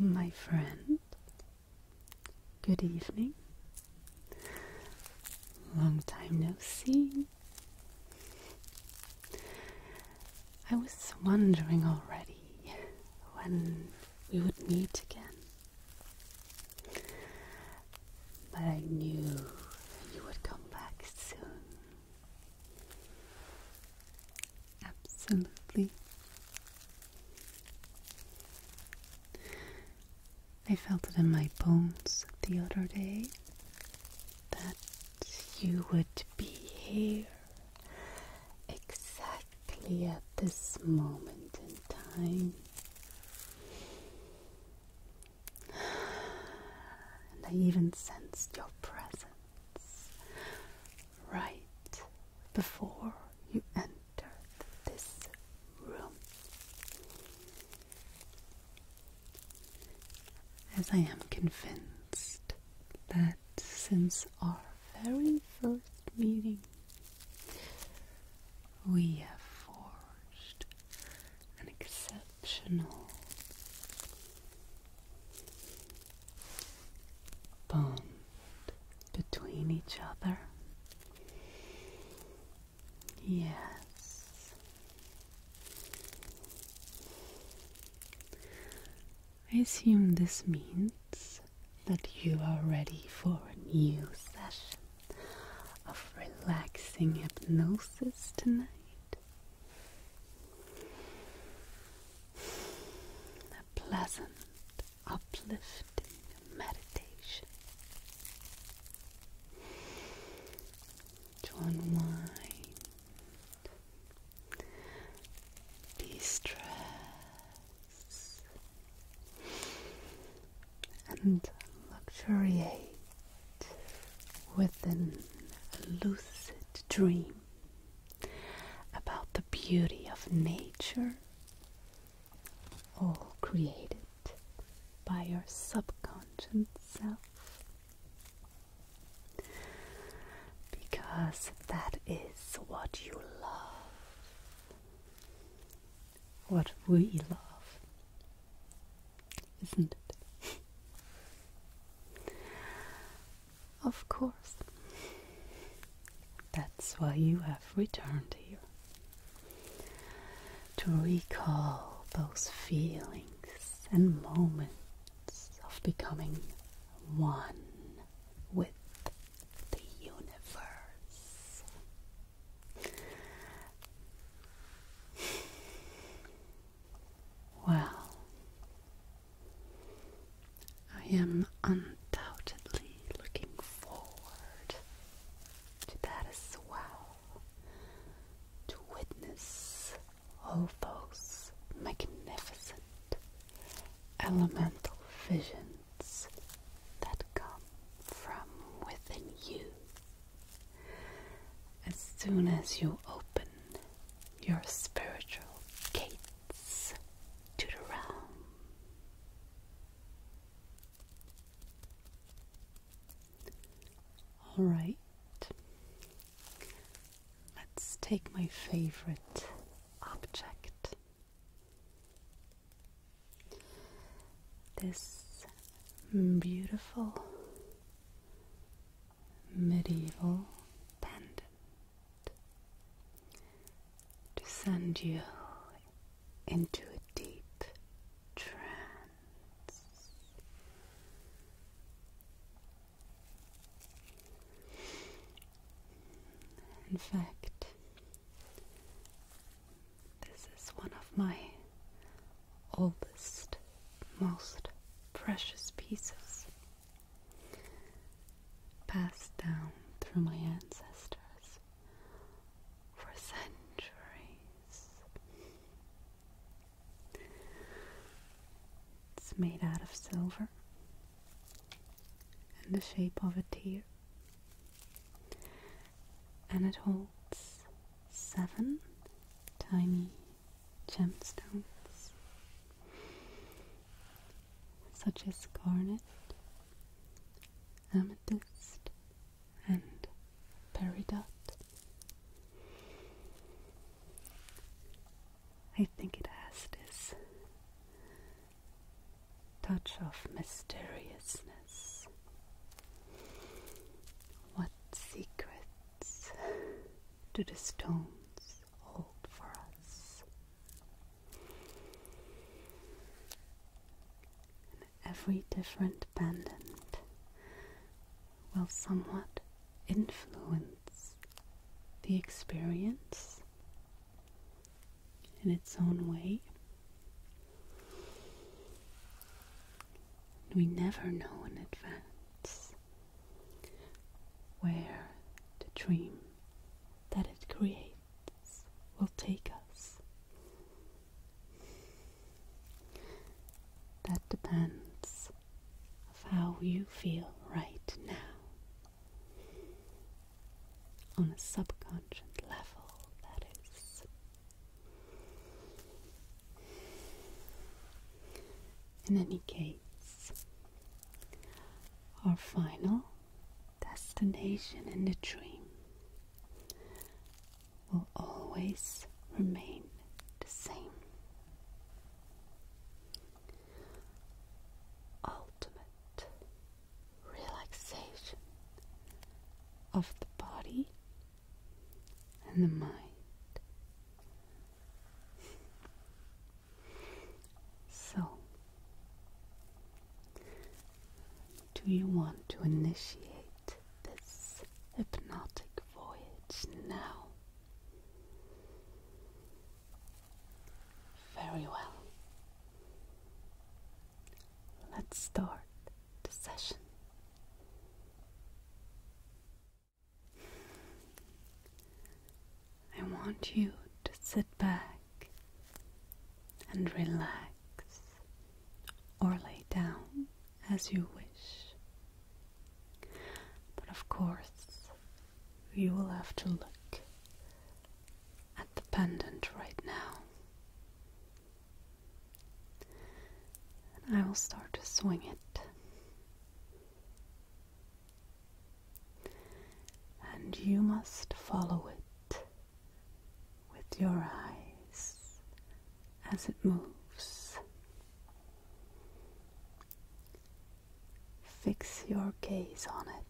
My friend, good evening. Long time no see. I was wondering already when we would meet again. But I knew you would come back soon. Absolutely. I felt it in my bones the other day that you would be here exactly at this moment in time. And I even sensed your presence right before you entered this room. As I am convinced that since our very first meeting, we have forged an exceptional bond between each other. Yes. I assume this means that you are ready for a new session of relaxing hypnosis tonight. A pleasant, uplifting meditation to unwind, de stress, and luxuriate within a lucid dream about the beauty of nature, all created by your subconscious self. Because that is what you love what we love. Isn't it? of course. That's why you have returned here. To recall those feelings and moments of becoming one with the universe. Well, I am undoubtedly looking forward to that as well. To witness all those magnificent elemental visions that come from within you. As soon as you open your spiritual gates to the realm, all right, let's take my favorite object this beautiful medieval pendant to send you into a deep trance. In fact, this is one of my oldest, most precious pieces passed down through my ancestors for centuries. It's made out of silver in the shape of a tear and it holds seven tiny gemstones, such as garnet, amethyst, and peridot. I think it has this touch of mysteriousness. What secrets do the stones hold for us? every different pendant will somewhat influence the experience in its own way. We never know in advance where the dream that it creates will take us. That depends of how you feel right now on a subconscious level, that is. In any case, our final destination in the dream will always remain the same. Ultimate relaxation of the body and the mind. So, do you want to initiate this hypnotic voyage now? Very well. Let's start the session. I want you to sit back and relax or lay down as you wish. But of course, you will have to look at the pendant right now. And I will start to swing it. And you must follow it with your eyes as it moves. Fix your gaze on it.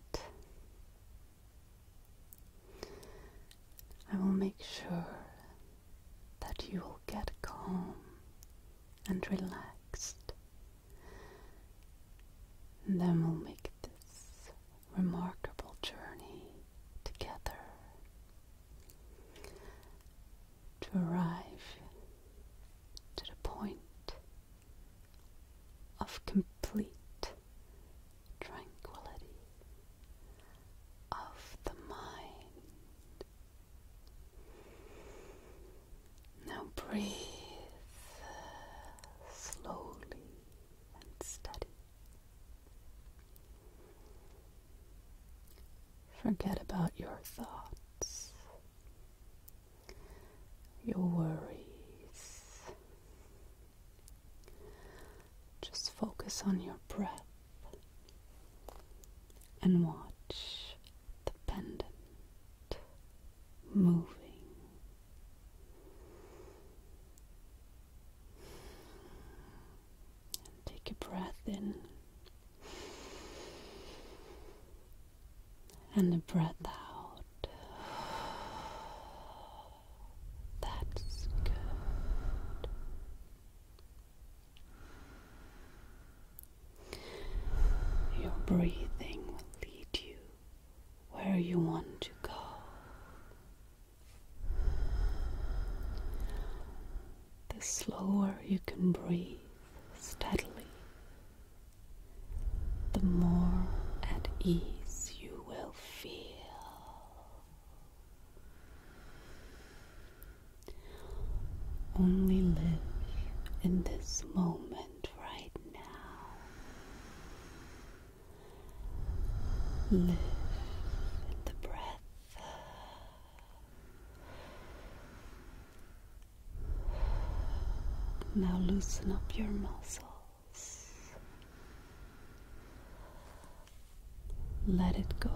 I will make sure that you will get calm and relaxed. And then we'll make this remarkable journey together to arrive to the point of complete tranquility of the mind. Now breathe slowly and steady. Forget about your thoughts, your worries. Just focus on your breath and watch the pendant moving. And take a breath in and a breath out. That's good. Your breathing will lead you where you want to go. The slower you can breathe steadily, the more at ease you will feel. Only live in this moment right now. Live in the breath. Now loosen up your muscles. Let it go.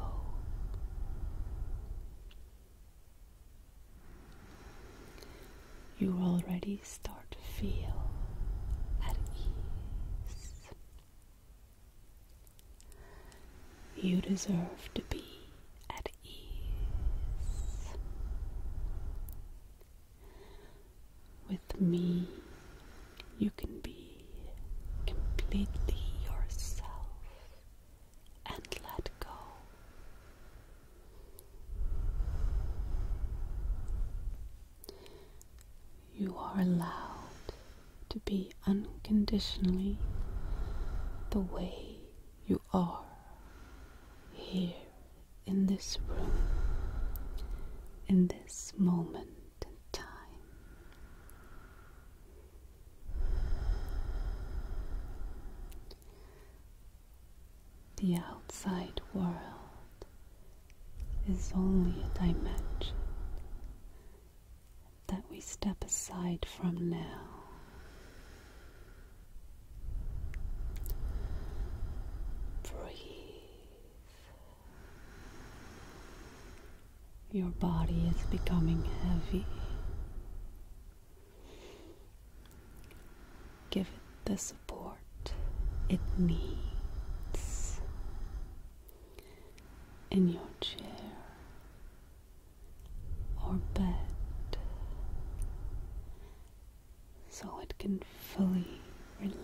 You already start to feel at ease. You deserve to be at ease. With me, you can be completely yourself and let go. You are allowed to be unconditionally the way you are here in this room, in this moment and time. The outside world is only a dimension that we step aside from now. Breathe your body is becoming heavy. Give it the support it needs in your chair or bed so it can fully relax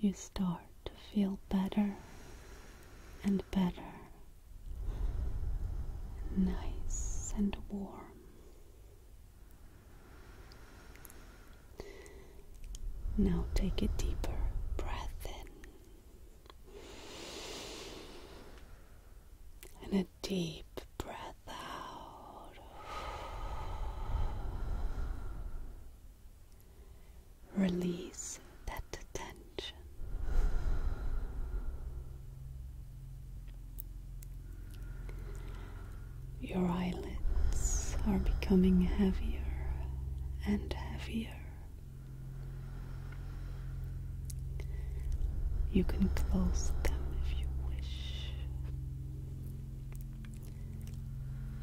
you start to feel better and better, nice and warm. Now take a deeper breath in and a deep breath out. Release that tension. Your eyelids are becoming heavier and heavier. You can close them if you wish.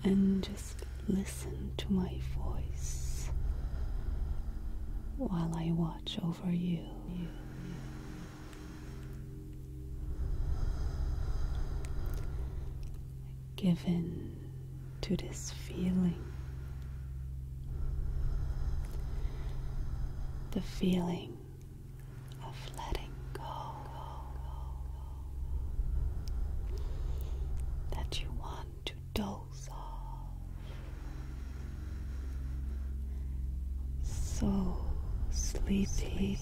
And just listen to my voice while I watch over you. Give in to this feeling. The feeling of letting go that you want to doze So sleepy.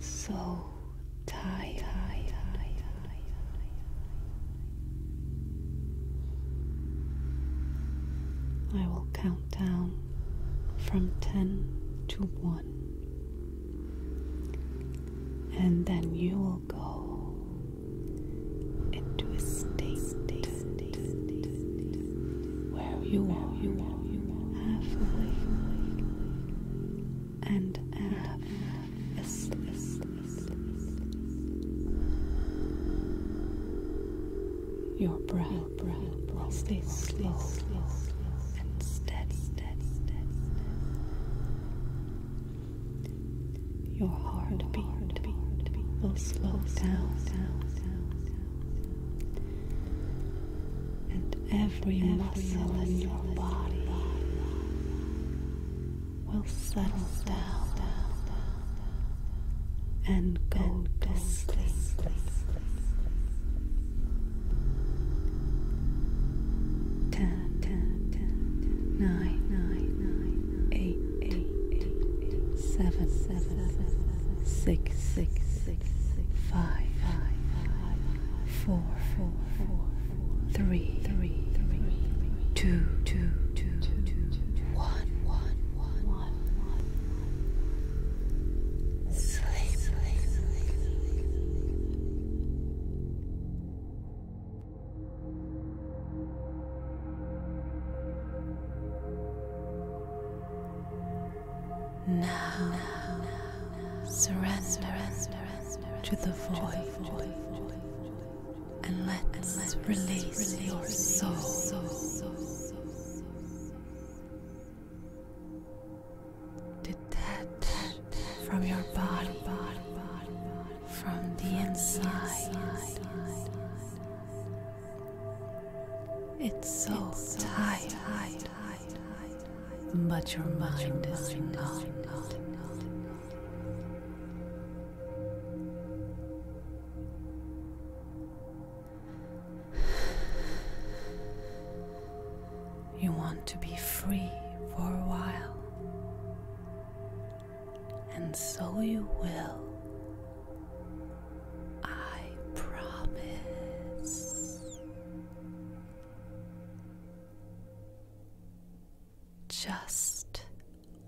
So tired. I will count down from 10 to 1, and then you will go into a state, where you are, you and half asleep. Your breath, your breath, your breath stay slow, slow, slow, slow and steady, steady, steady, steady. Your heartbeat, your heartbeat will slow down, and every, every muscle in your body will settle down and go to sleep. Ten, nine, nine, eight, eight, seven, seven, six, six, six, five, five, four, four, four three, three, three, two, two, two, one, one, one, one. Sleep. Now, surrender to the void and let's, and let's release, release your soul. soul. Detach from your body, from the inside. It's so tight, but your mind is not. You want to be free for a while, and so you will. I promise. Just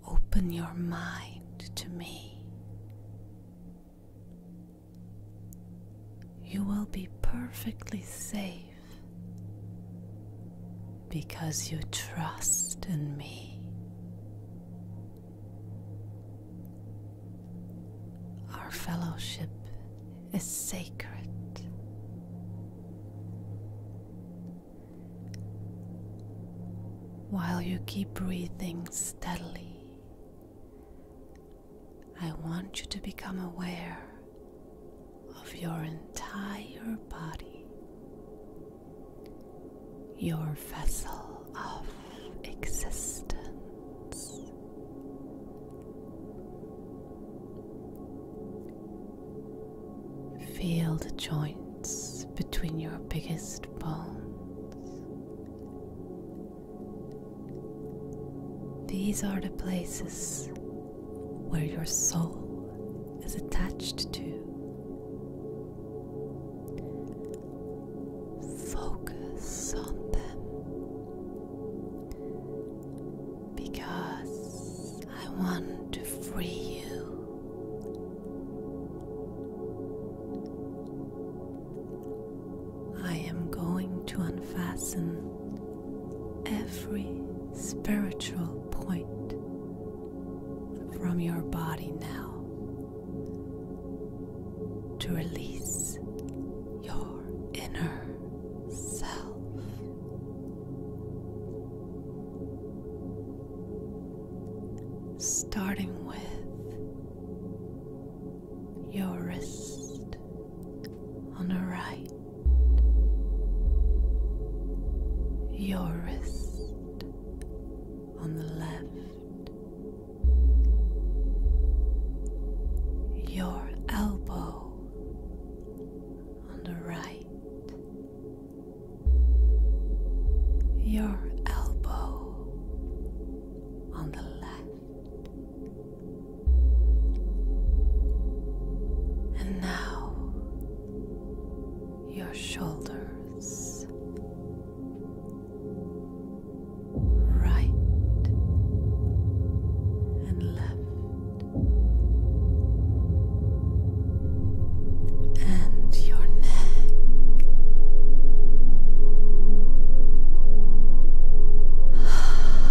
open your mind to me. You will be perfectly safe because you trust in me. Our fellowship is sacred. While you keep breathing steadily, I want you to become aware of your entire body, your vessel of existence. Feel the joints between your biggest bones. These are the places where your soul is attached to. Focus on them because I want to free you. I am going to unfasten every spiritual point from your body now to release your inner self starting with your wrist on the right, your wrist on the left, your elbow on the right your elbow on the left, and now your shoulders. Right and left, and your neck.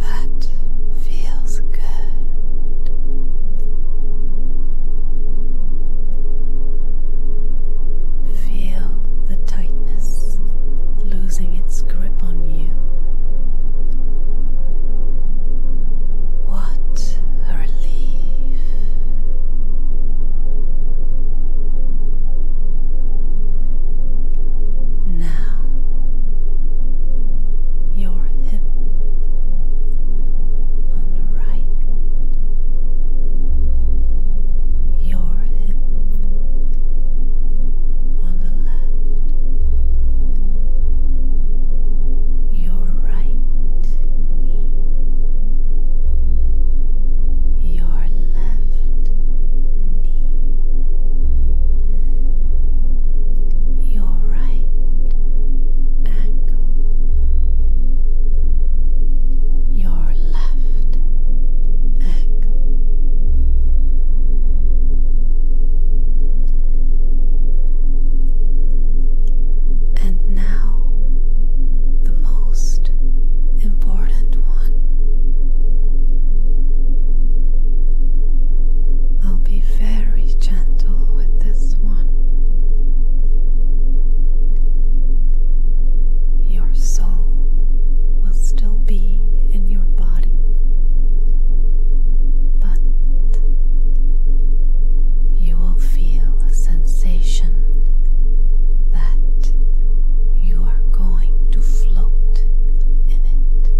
that feels good. Feel the tightness losing its grip on you. What a relief. Now, your hip on the right, your hip on the left, your right knee, your left knee, your right ankle, your left ankle. And now, the most important one. I'll be very gentle with this one. Your soul will still be in your body, but you will feel a sensation that you are going to float in it.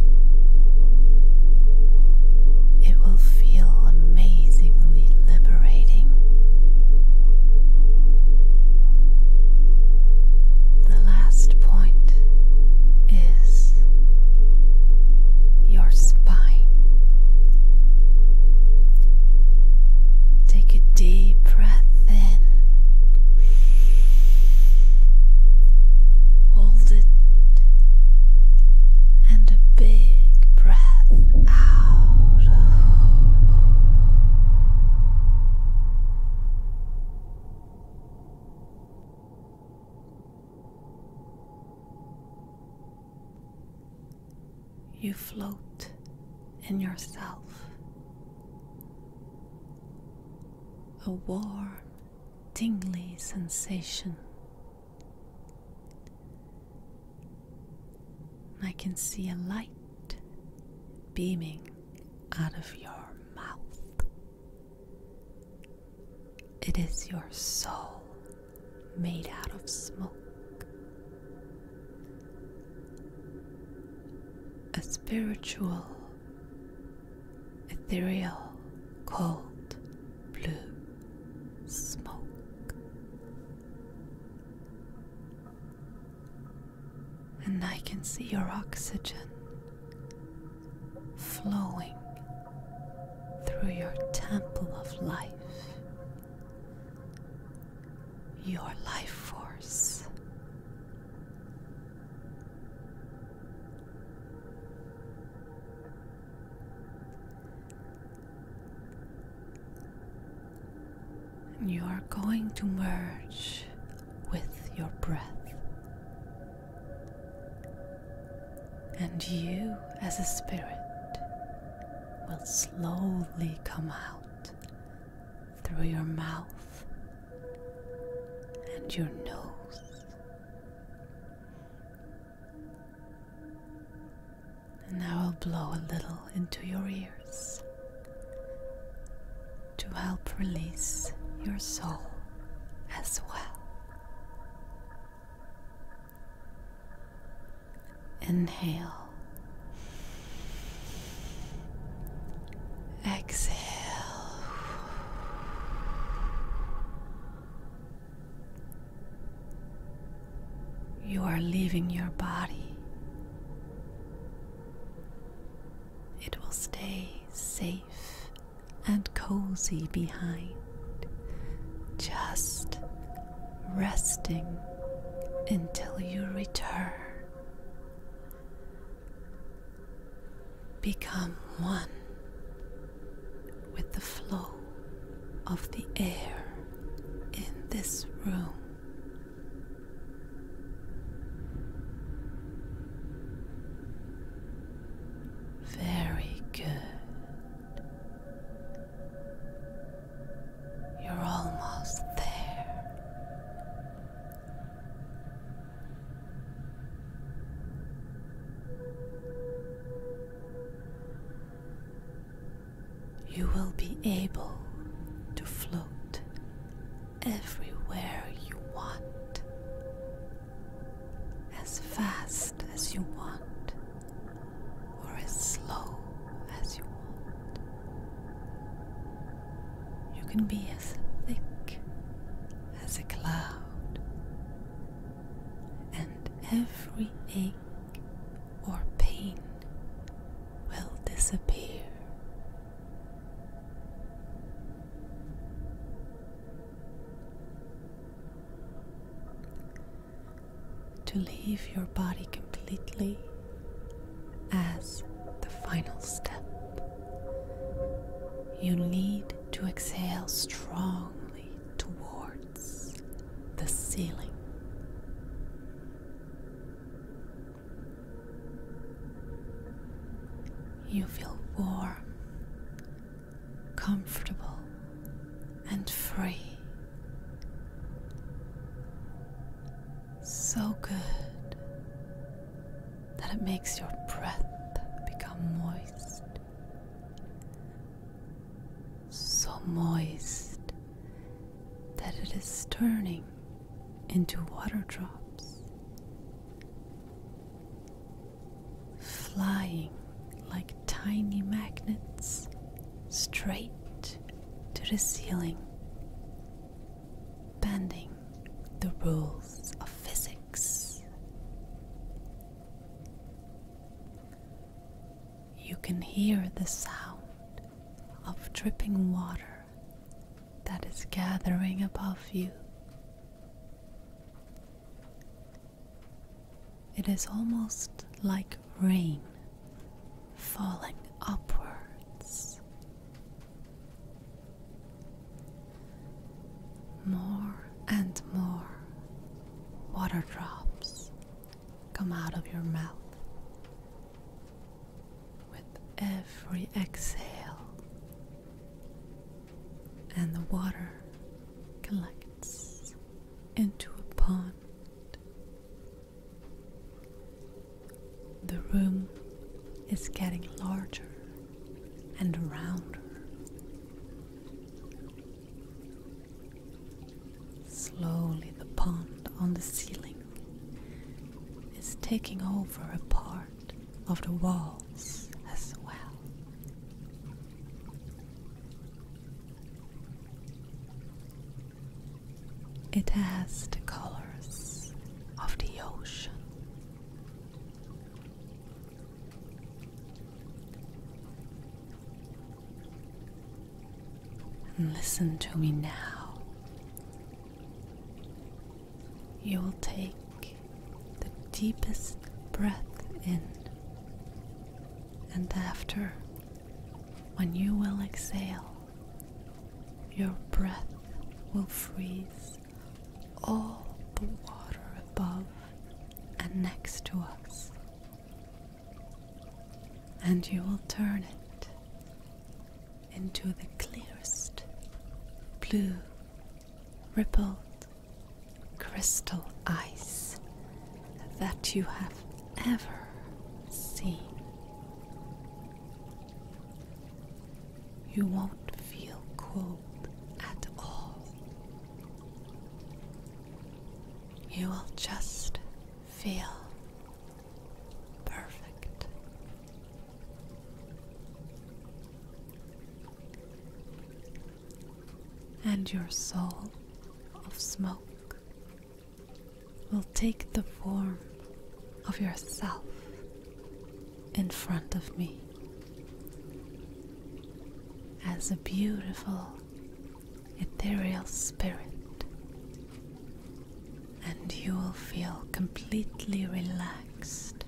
It will feel amazingly liberating. The last point is your spine. Take a deep breath in, hold it, and a big breath out. You float in yourself. A warm, tingly sensation. I can see a light beaming out of your mouth. It is your soul made out of smoke. A spiritual, ethereal, cold, blue smoke. And I can see your oxygen flowing through your temple of life, your life force. And you are going to merge with your breath and you, as a spirit, will slowly come out through your mouth and your nose. And I will blow a little into your ears to help release your soul as well. Inhale. Exhale. You are leaving your body. It will stay safe and cozy behind just resting until you return. Become one with the flow of the air in this room. Very good. You're almost there. You will be able to float everywhere you want as fast as you want or as slow as you want. You can be as thick as a cloud, and every ache or pain will disappear to leave your body completely as the final step. You need to exhale strongly towards the ceiling. You feel warm comfortable, and free. So good that it makes your breath become moist. So moist that it is turning into water drops flying like tiny magnets straight to the ceiling, bending the rules of physics. You can hear the sound of dripping water that is gathering above you. It is almost like rain falling upwards. More and more water drops come out of your mouth with every exhale, and the water collects into a pond. The room is getting larger and rounder. Slowly, the pond on the ceiling is taking over a part of the walls as well. It has the colors of the ocean. Listen to me now. You will take the deepest breath in and after, when you will exhale, your breath will freeze all the water above and next to us, and you will turn it into the clearest blue rippled crystal ice that you have ever seen. You won't feel cold at all. You will just feel perfect and your soul of smoke will take the form of yourself in front of me as a beautiful ethereal spirit, and you will feel completely relaxed,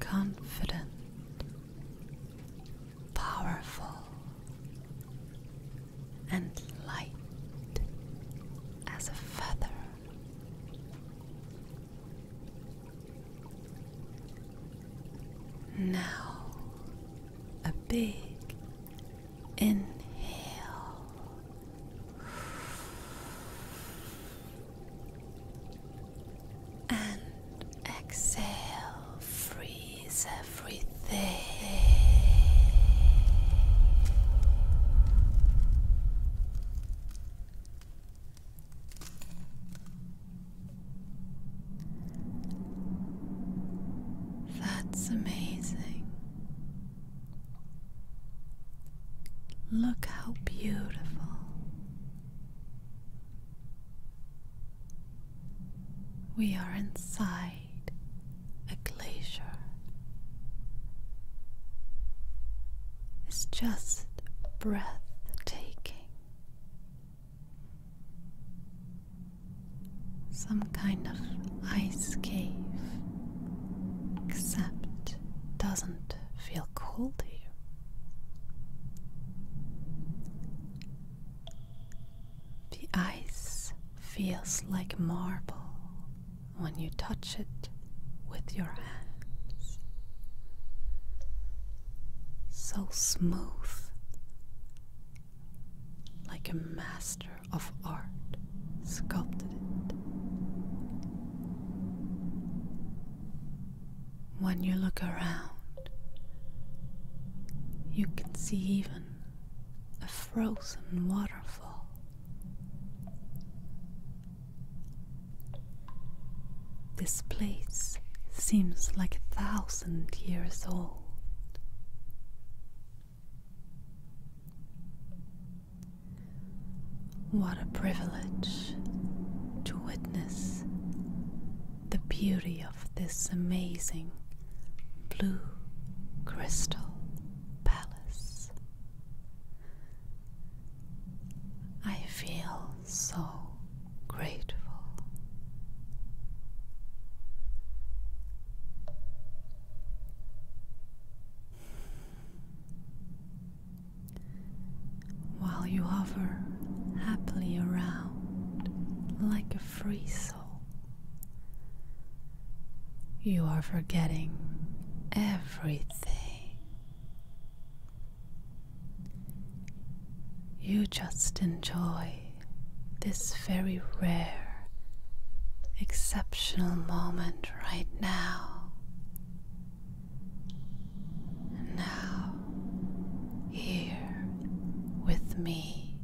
confident, powerful and light as a feather. Now, a big inhale and exhale, freeze everything. That's amazing. Look how beautiful. We are inside a glacier. It's just breathtaking. Some kind of ice cave, except doesn't feel cold here. The ice feels like marble when you touch it with your hands. So smooth, like a master of art sculpted it. When you look around, you can see even a frozen waterfall. This place seems like a thousand years old. What a privilege to witness the beauty of of this amazing blue crystal palace. I feel so grateful while you hover happily around like a free soul. You are forgetting everything. You just enjoy this very rare, exceptional moment right now. And now, here with me.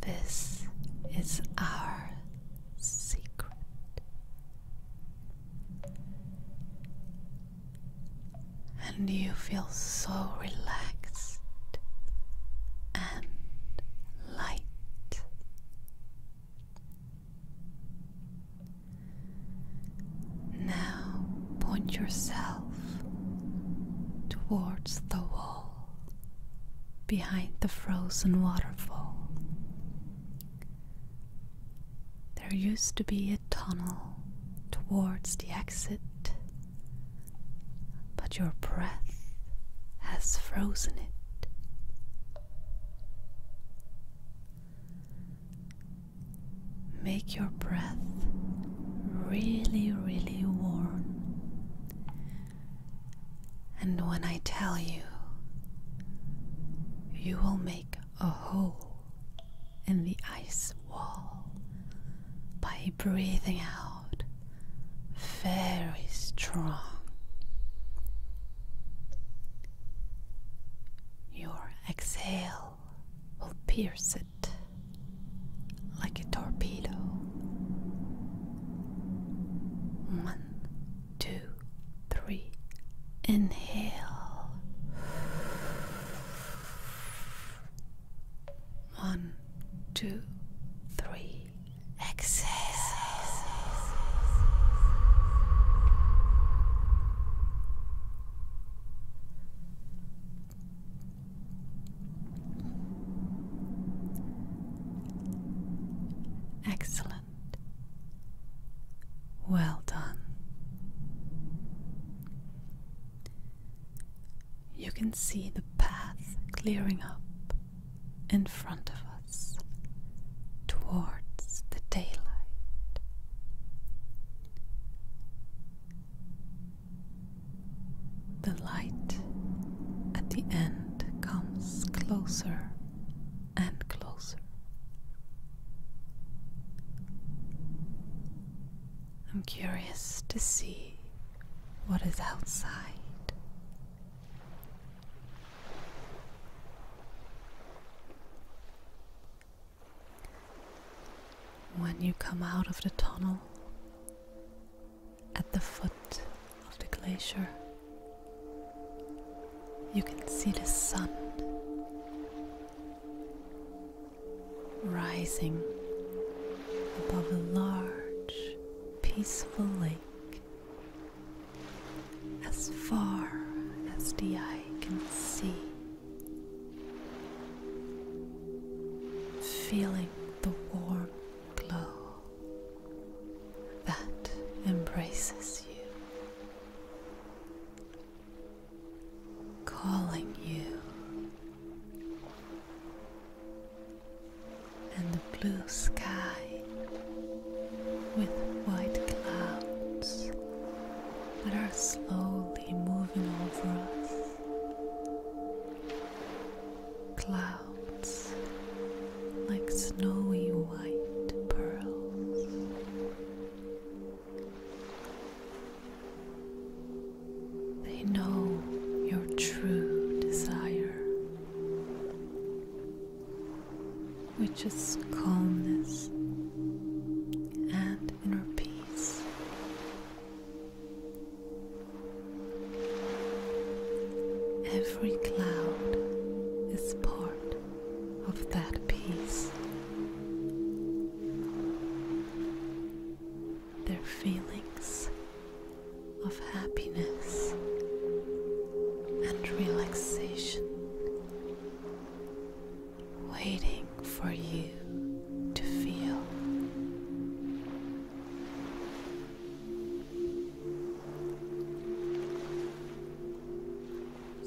This is our secret. And you feel so relaxed and light. Now point yourself towards the wall behind the frozen waterfall. There used to be a tunnel towards the exit, but your breath has frozen it. Make your breath really, really warm. And when I tell you, you will make a hole in the ice wall by breathing out very strong. Your exhale will pierce it like a torpedo. One, two, three. Inhale. One, two, three. Exhale. Excellent. Well done. You can see the path clearing up in front of us towards the daylight. The light at the end comes closer and closer. I'm curious to see what is outside. When you come out of the tunnel at the foot of the glacier, you can see the sun rising above a large, peaceful lake as far as the eye can see feeling the warm glow that embraces you, calling you, and the blue sky with white clouds that are slowly moving over us. Clouds like snowy white pearls. They know your true desire, which is calmness and inner peace. Every cloud is part of that peace. Their feelings of happiness and relaxation waiting for you to feel.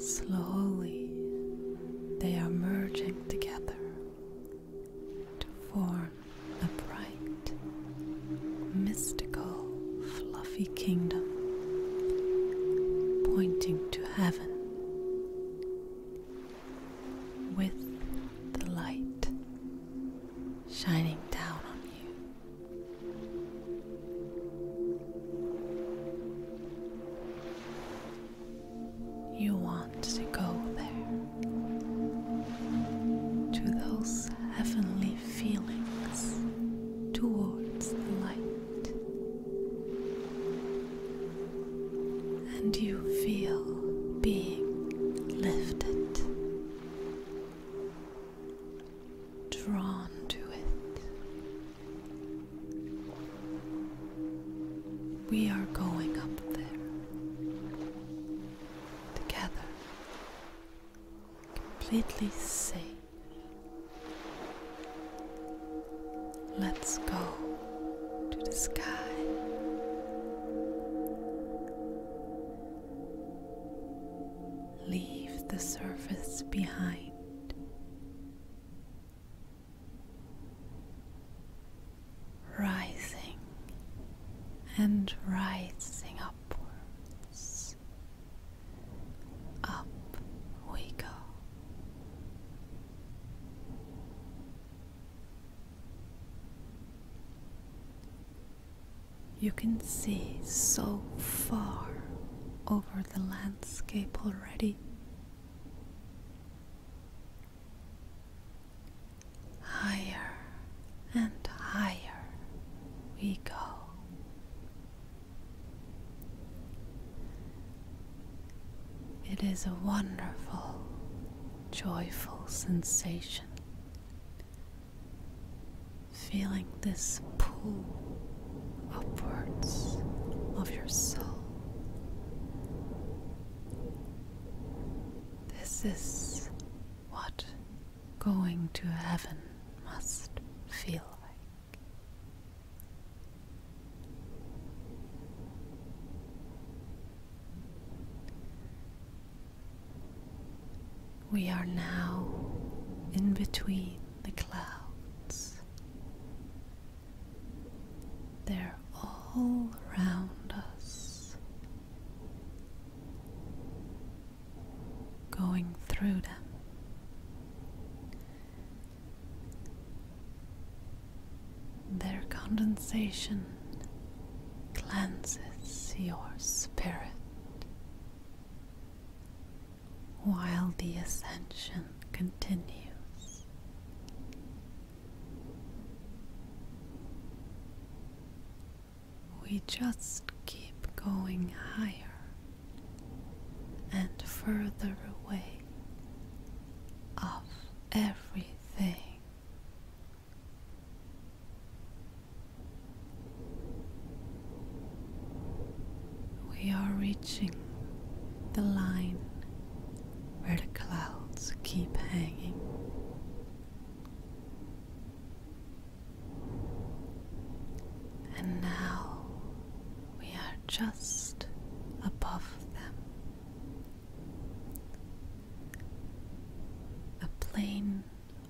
Slowly they are merging together to form a bright, mystical, fluffy kingdom pointing to heaven with the light shining down on you. You want to go there to those heavenly feelings towards the light and you feel being lifted, drawn to it. We are going up there together, completely safe. Let's go to the sky. Leave the surface behind. Rising and rising upwards. Up we go. You can see so far over the landscape already. Higher and higher we go. It is a wonderful, joyful sensation. Feeling this pull upwards of your soul. This is what going to heaven must feel like. We are now in between the clouds. They're all around us, going through them their condensation cleanses your spirit, while the ascension continues. We just keep going higher and further away of everything. We are reaching the line where the clouds keep hanging. And now we are just above them. A plain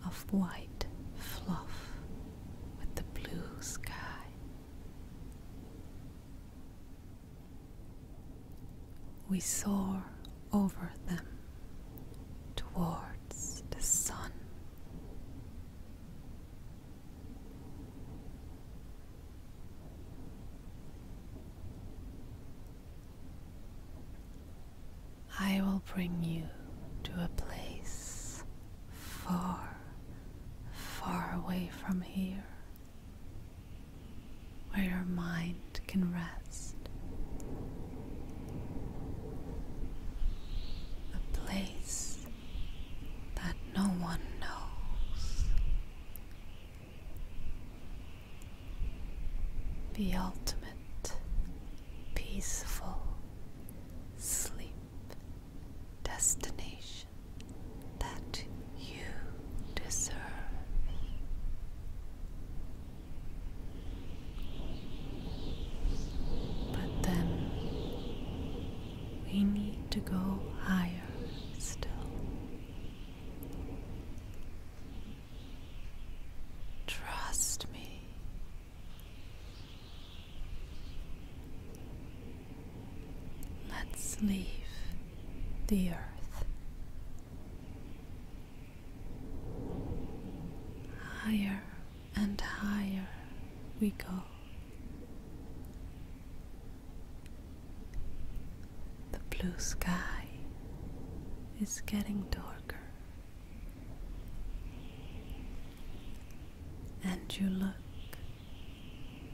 of white fluff with the blue sky. We soar over them towards the sun. I will bring you to a place far, far away from here, where your mind can rest. A place that no one knows. The ultimate peaceful sleep destination that you deserve. But then we need to go higher still. Trust me. Let's leave the earth higher and higher we go. The blue sky is getting darker, and you look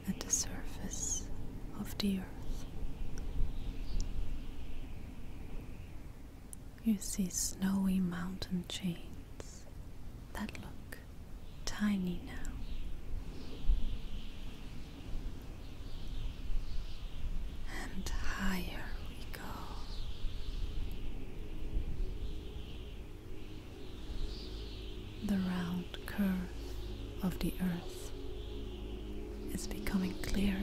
at the surface of the earth. You see snowy mountain chains that look tiny now. And higher we go. The round curve of the earth is becoming clearer.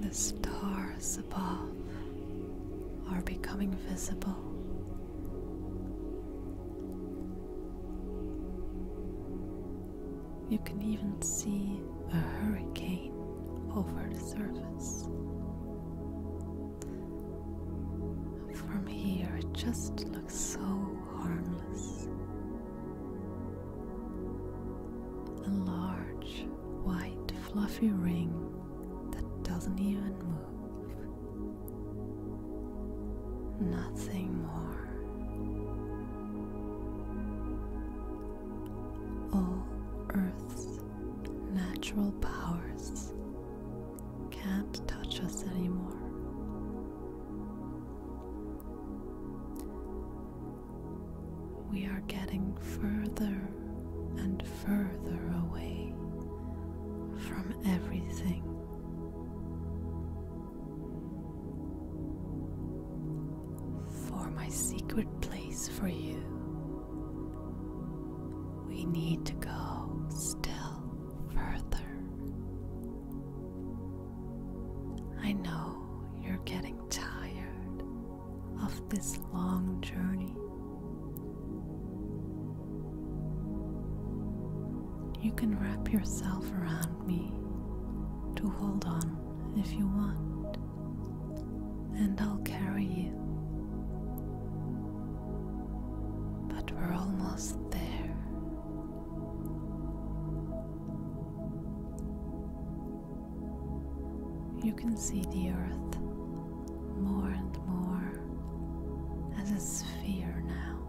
The stars above are becoming visible. You can even see a hurricane over the surface. From here, it just looks so harmless. A large, white, fluffy ring that doesn't even move nothing more. All Earth's natural powers can't touch us anymore. We are getting further and further away from everything. For my secret place for you, we need to go still further. I know you're getting tired of this long journey. You can wrap yourself around me to hold on if you want, and I'll carry you. But we're almost there. You can see the earth more and more as a sphere now.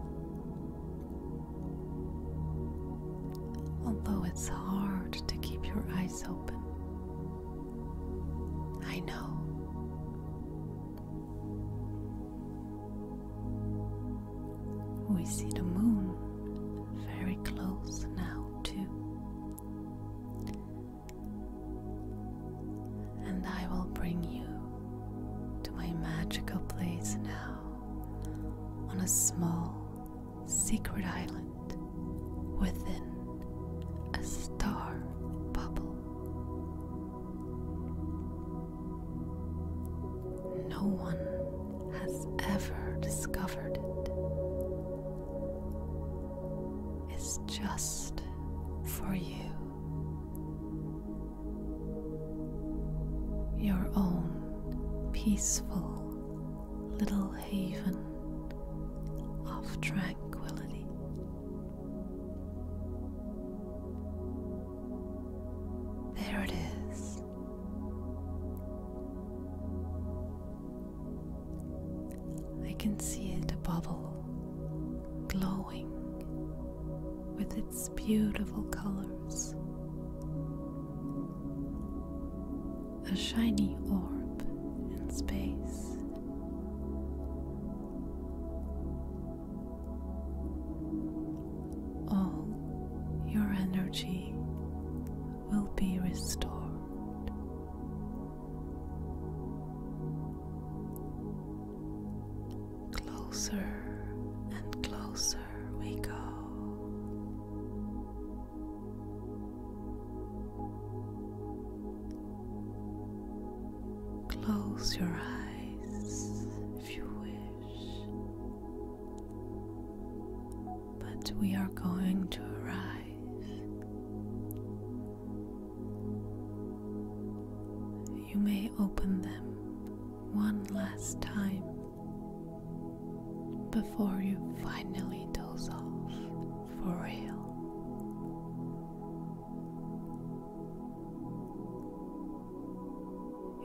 Although it's hard to keep your eyes open, I know. We see the moon very close now, too and I will bring you to my magical place now on a small secret island within a star bubble. No one has ever discovered it is just for you. Your own peaceful little haven of tranquility. There it is. I can see it a bubble glowing with its beautiful colors. A shiny orb in space. All your energy will be restored. Closer and closer we go. Close your eyes if you wish, but we are going to arrive you may open them one last time before you finally doze off for real.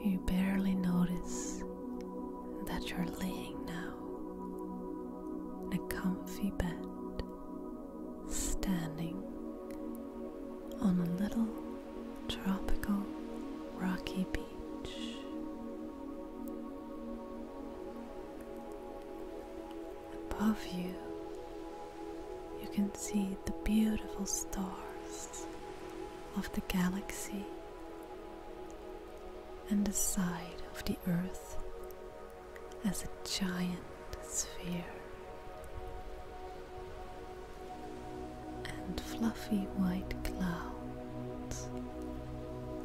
You barely notice that you're lying now in a comfy bed standing on a little tropical rocky beach. Above you, you can see the beautiful stars of the galaxy and the side of the earth as a giant sphere. And fluffy white clouds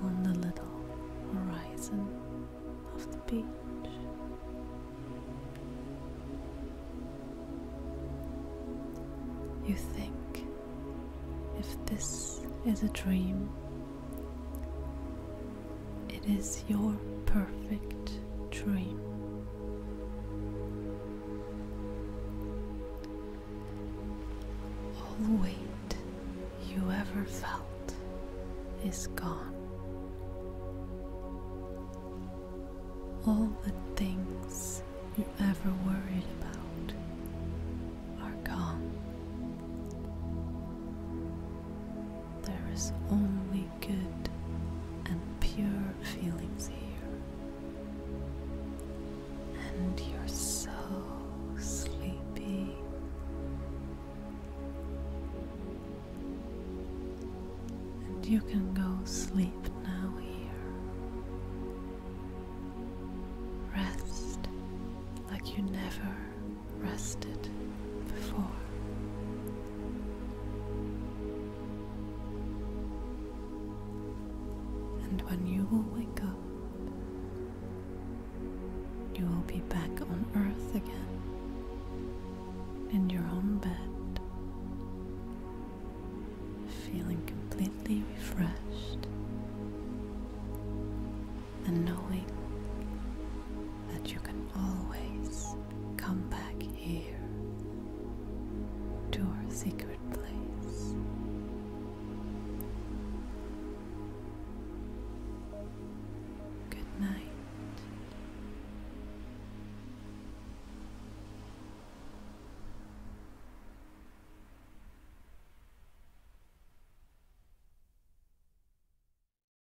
on the little horizon of the beach. You think if this is a dream, it is your perfect dream. All weight you ever felt is gone. All the things you ever worried about are gone. There is only good and pure feelings here, and you're so sleepy. And you can go sleep now here. Rest like you never rested before. And when you will wake up, you will be back on earth again, in your own bed, feeling completely refreshed and knowing that you can always come back here to our secret place. Good night.